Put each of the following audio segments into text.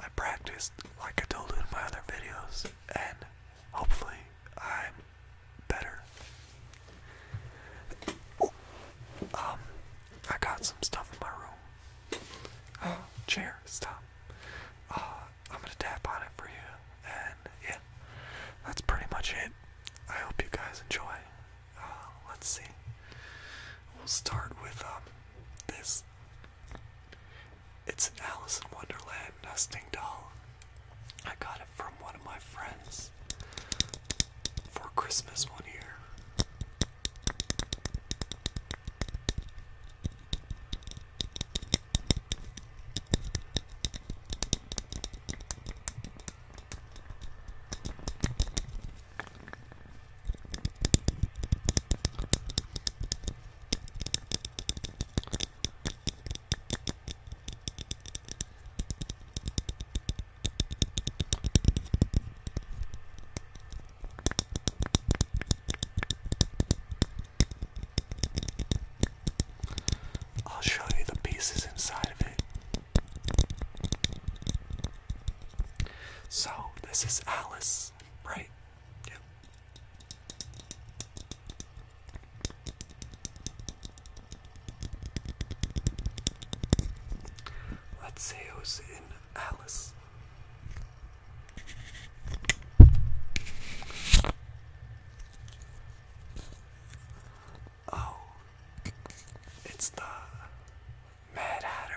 I practiced like I told you in my other videos, and hopefully I'm better. Um, I got some stuff in my room. Oh, chair, stop. Uh, I'm gonna tap on it for you, and yeah, that's pretty much it. I hope you guys enjoy. Uh, let's see. We'll start with um, this it's an Alice in Wonderland nesting doll. I got it from one of my friends for Christmas one year. I'll show you the pieces inside of it. So, this is Alice right. Let's see who's in Alice. Oh, it's the Mad Hatter.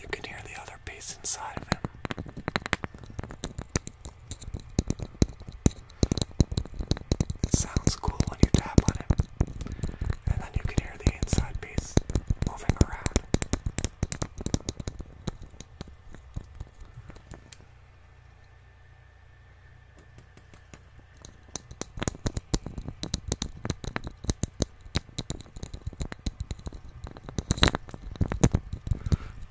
You can hear the other piece inside of him. It sounds cool when you tap on it, and then you can hear the inside piece moving around.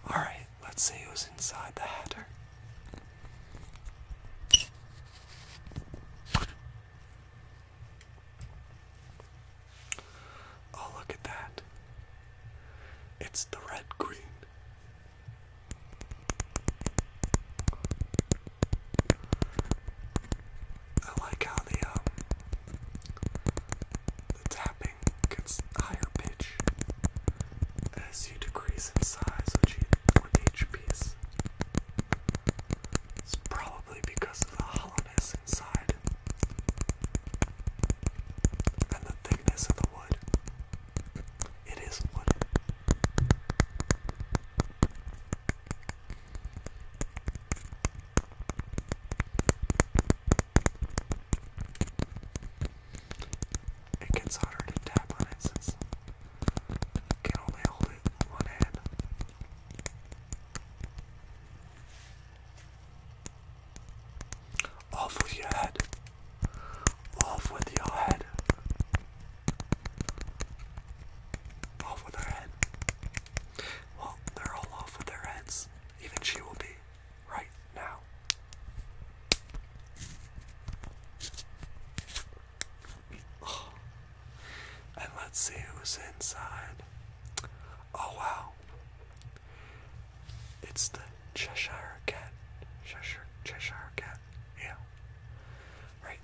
All right, Let's see who's inside the Hatter. Oh, look at that. It's the red green. I like how the um, tapping gets higher pitch as you decrease in size with each piece. It's probably because of the hollowness inside and the thickness of the wood. It is wood. It gets harder to tap on it since can only hold it one hand. Off with your head. Off with your head. Off with her head. Well, they're all off with their heads. Even she will be right now. And let's see who's inside. Oh wow. It's the Cheshire Cat. Cheshire, Cheshire Cat. Yeah. Right.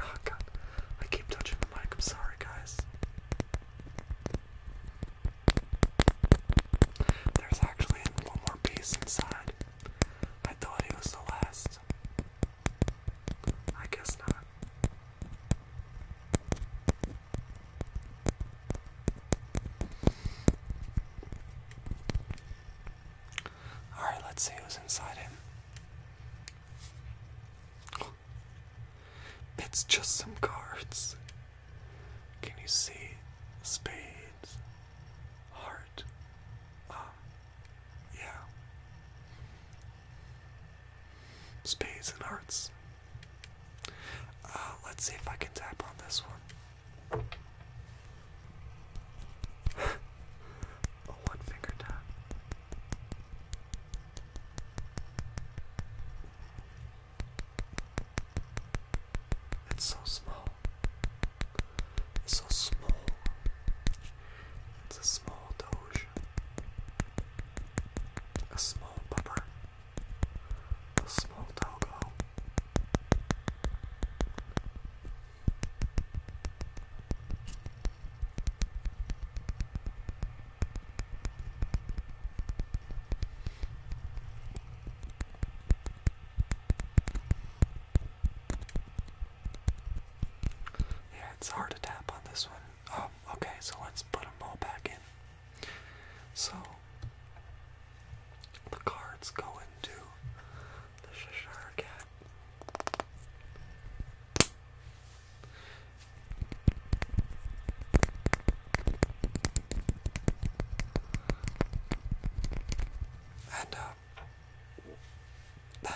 Oh god. I keep touching the mic. I'm sorry, guys. There's actually one more piece inside. I thought it was the last. I guess not. Alright, let's see who's inside him. It's just some cards. Can you see? Spades. Heart. Um, yeah. Spades and hearts. Uh, let's see if I can tap on this one. one finger tap. It's so small. It's so small. It's a small doge. A small pupper. A small doggo. Yeah, it's hard to tap on this one. Um, okay, so let's put them all back in. So the cards go into the Cheshire Cat. And uh, then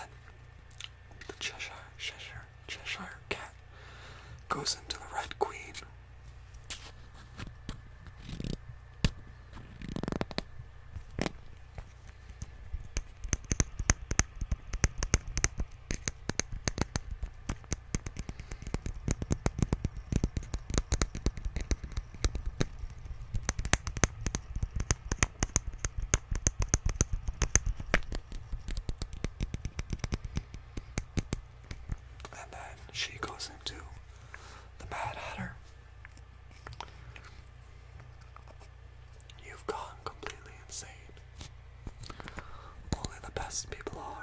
the Cheshire, Cheshire, Cheshire cat goes into the Red Queen. And then she goes into the Mad Hatter. You've gone completely insane. Only the best people are.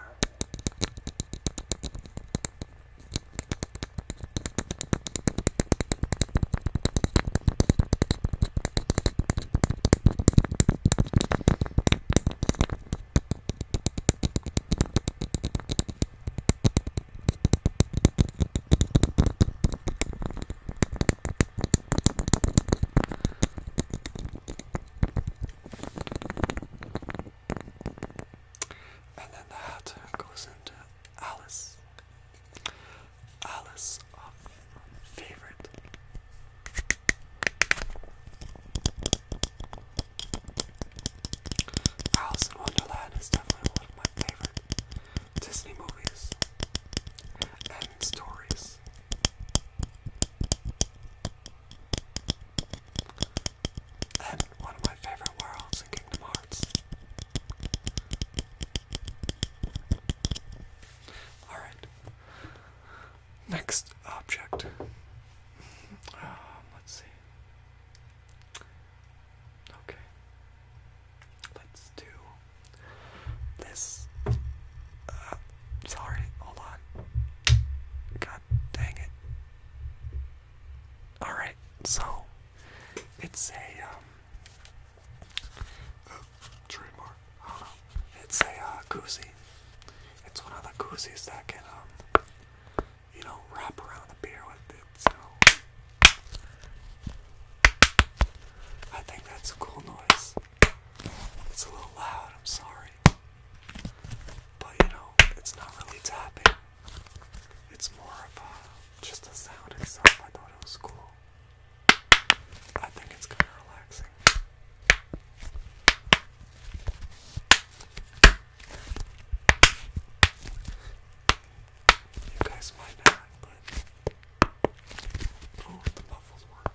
And then the hat goes into Alice. Alice of favorite. Alice in Wonderland is definitely one of my favorite Disney movies and stories. And one of my favorite worlds in Kingdom Hearts. Alright. Next object. Um, let's see. Okay. Let's do this. Uh, Sorry, hold on. God dang it. Alright, so it's a um uh, trademark. Uh, it's a uh, It's one of the koozies that can um you know wrap around the beer with it, so I think that's a cool noise. It's a little loud, I'm sorry. But you know, it's not really tapping. It's more of a, just a sound itself. I thought it was cool. I think it's kind of relaxing. You guys might not, but oh, the muffles work.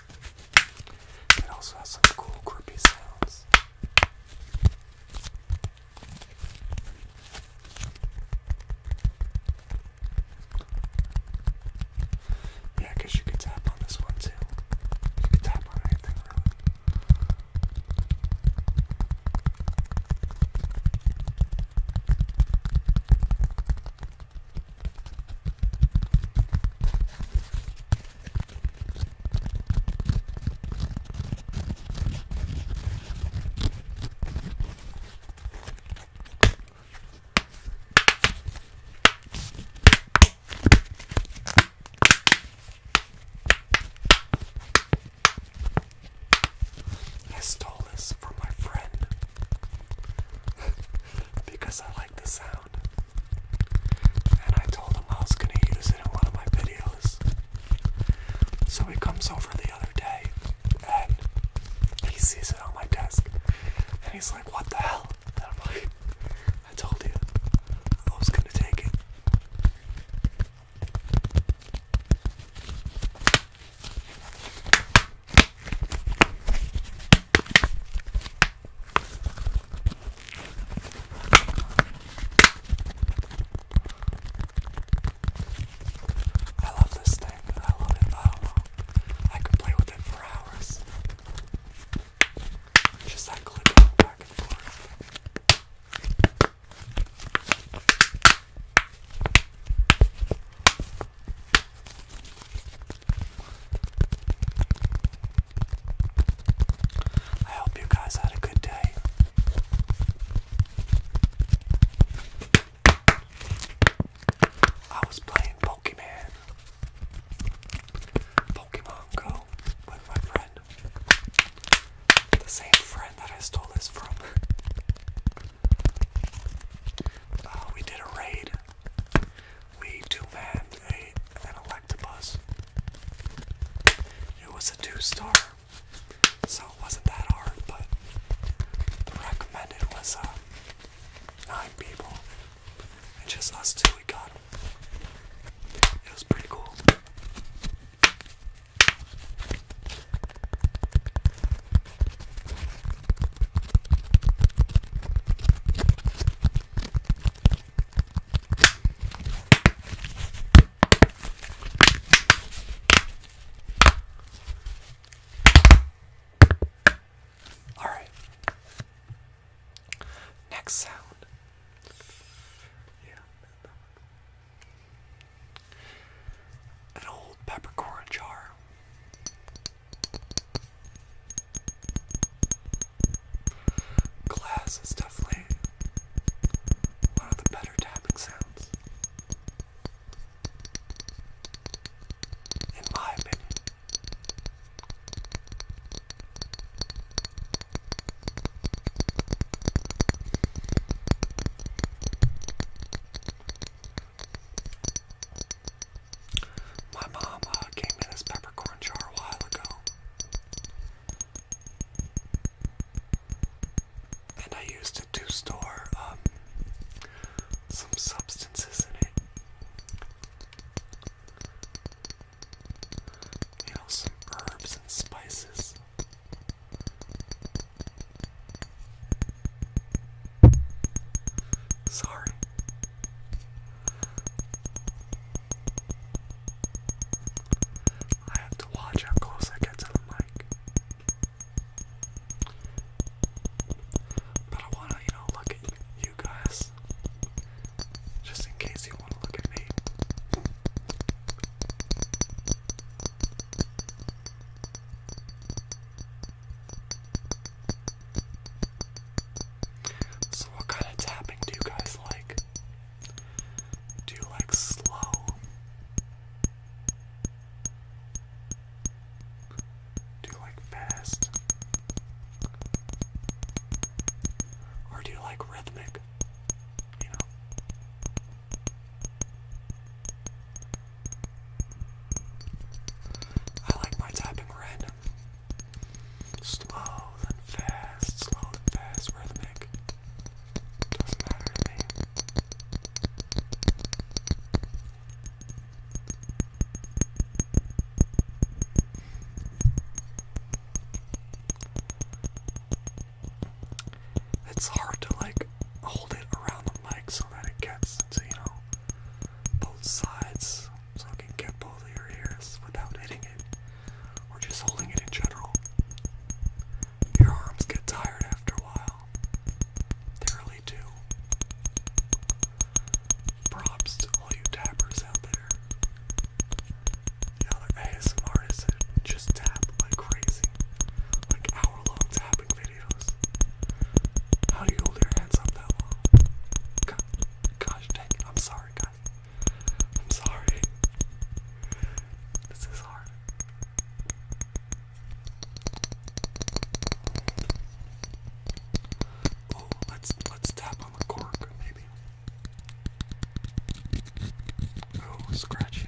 It also has some cool grippy sounds. Yeah, I guess you could tap on this one too. You could tap on anything I stole this from my friend because I like the sound. And I told him I was gonna use it in one of my videos. So he comes over the other day and he sees it on my desk. And he's like, What the hell? And I'm like, I told you I was gonna take it. I love this thing. I love it. I don't know. I could play with it for hours. Just that clip back and forth. I hope you guys had a good day. I was playing Pokemon. Pokemon Go with my friend. The same friend that I stole this from. Uh, we did a raid we do have an Electabuzz. It was a two-star, so it wasn't that hard, but recommended was a uh, nine people, and just us two we got. It was pretty cool. All right. Next sound. Yeah. An old peppercorn jar. Glass is definitely one of the better tapping sounds. In my opinion. My mom uh, gave me this peppercorn jar a while ago. And I used it to store um, some substances in it. You know, some herbs and spices. Sorry, I have to watch how close I get to the mic. But I wanna, you know, look at you guys. Just in case you wanna look at me. So, what kind of tapping do you guys like? Do you like slow? Do you like fast? Or do you like rhythmic? You know? I like my tapping random. Slow and fast, slow and fast, rhythmic. Doesn't matter to me. It's hard to like hold it around the mic so that it gets you know, both sides so I can get both of your ears without hitting it or just holding it in general. Your arms get tired after a while. They really do. Props to all you tappers out there. The other ASMR artists that just tap like crazy. Like hour long tapping videos. How do you hold your hands up that long? gosh dang I'm sorry guys. I'm sorry. This is hard. Oh, let's let's tap on the cork, maybe. Oh, scratchy.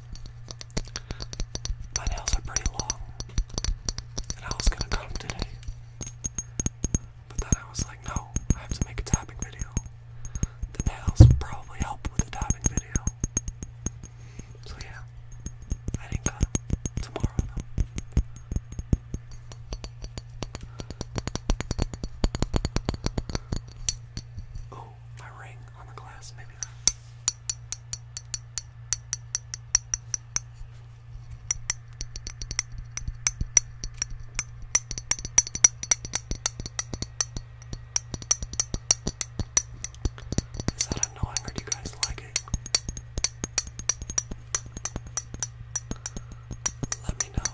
My nails are pretty long, and I was gonna cut them today. But then I was like, no, I have to make a tapping video. The nails would probably help with the tapping video. So yeah, I didn't cut them. Tomorrow Oh, my ring on the glass, maybe that. Is that annoying or do you guys like it? Let me know.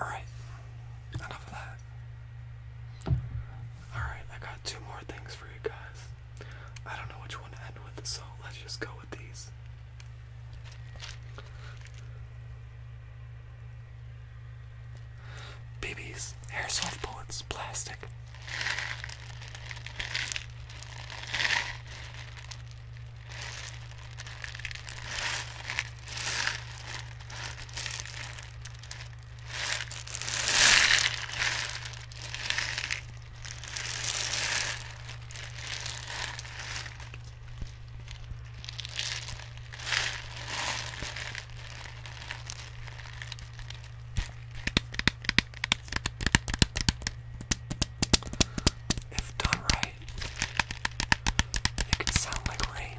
Alright, enough of that. Alright, I got two more things for you guys. I don't know which one to end with, so let's just go with these. BBs, airsoft bullets, plastic. If done right, it can sound like rain.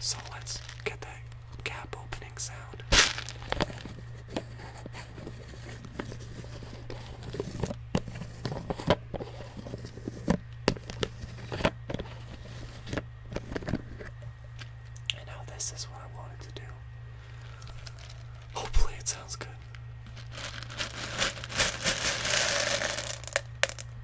So let's get that cap opening sound. And now this is what I wanted to do. Hopefully, it sounds good.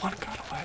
One got away.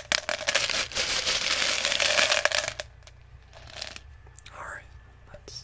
All right, let's.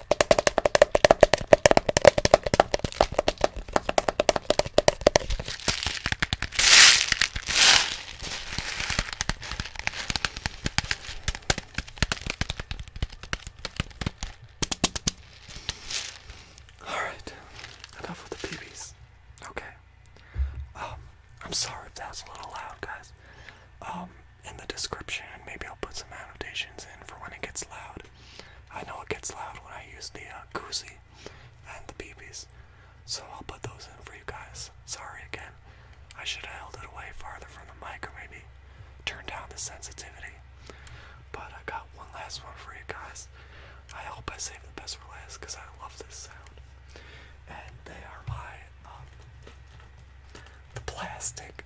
All right, enough with the PBs. Okay. Um, I'm sorry if that was a little loud, guys. Um, in the description, maybe I'll put some annotations in for when it gets loud. I know it gets loud when I use the uh, and the BBs, so I'll put those in for you guys. Sorry again, I should have held it away farther from the mic or maybe turn down the sensitivity. But I got one last one for you guys. I hope I saved the best for last because I love this sound. And they are my um, the plastic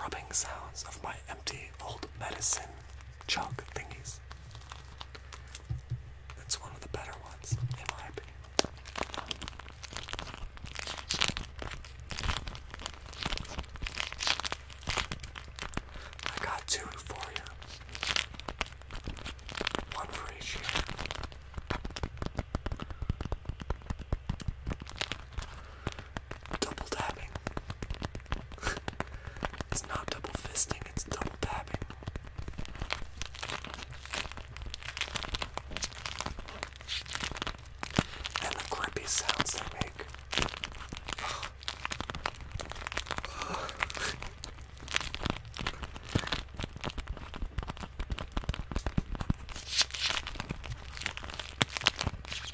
rubbing sounds of my empty old medicine jug thingies. It's one of the better ones, in my opinion. I got two for you. One for each year double tapping. it's not double fisting, it's double tapping. And the grippy sounds they make.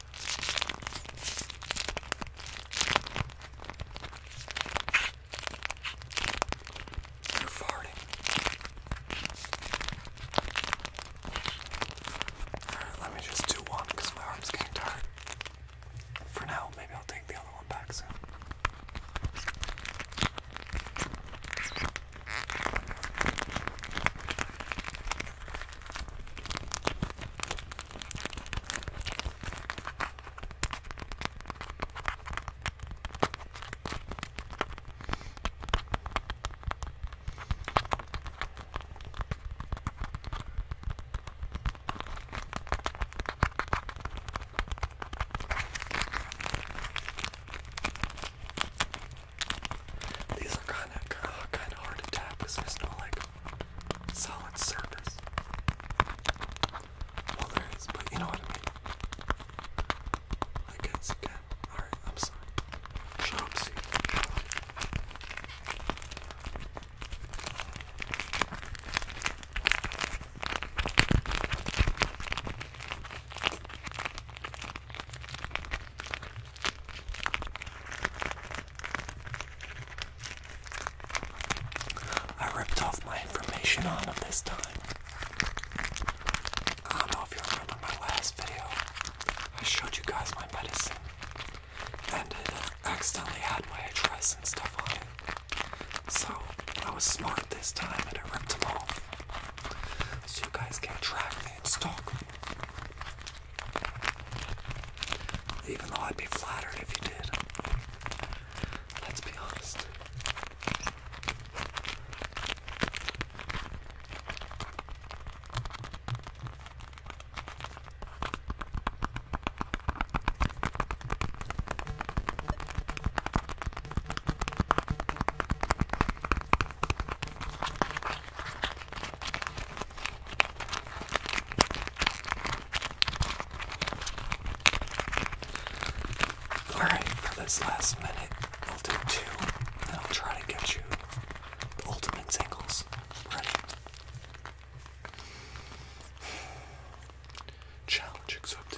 You're farting. Alright, let me just do one because my arm's getting tired. For now, maybe I'll take the other one back soon. These are kind of kind of hard to tap because there's no like solid surface. Well, there is, but you know what I mean. I guess again. Alright, I'm sorry. Shut I ripped off my information on him this time. I know if you remember my last video. I showed you guys my medicine. And it accidentally had my address and stuff on it. So I was smart this time and I ripped them off. So you guys can track me and stalk me. Even though I'd be flattered if you did. Let's be honest. Alright, for this last minute, we'll do two, and I'll try to get you the ultimate singles. Ready? Challenge accepted.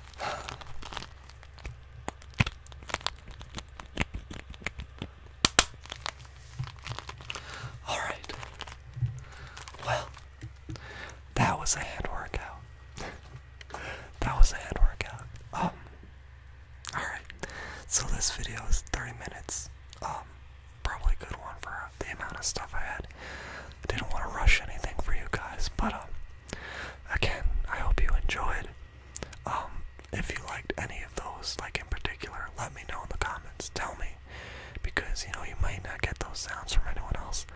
All right. Well, that was a hand workout. that was a hand workout. Um. All right. So this video is 30 minutes. Um, probably a good one for the amount of stuff I had. I didn't want to rush anything for you guys, but um, again, I hope you enjoyed. Um, if you liked any of those, like in particular, let me know in the comments. Tell me, because you know you might not get those sounds from anyone else.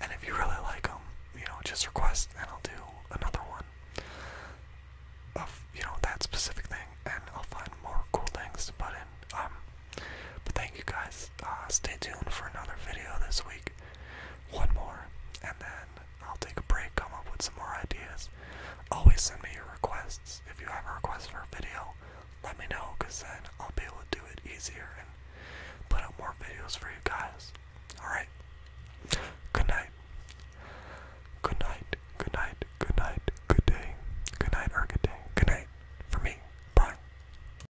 And if you really like them, you know, just request, and I'll do another one of you know that specific thing, and I'll find more cool things to put in. Um, but thank you guys uh, stay tuned for another video this week. One more, and then I'll take a break, come up with some more ideas. Always send me your requests. If you have a request for a video, let me know, because then I'll be able to do it easier and put out more videos for you guys. Alright? Good night. Good night. Good night. Good night. Good day. Good night or good day. Good night. For me. Bye.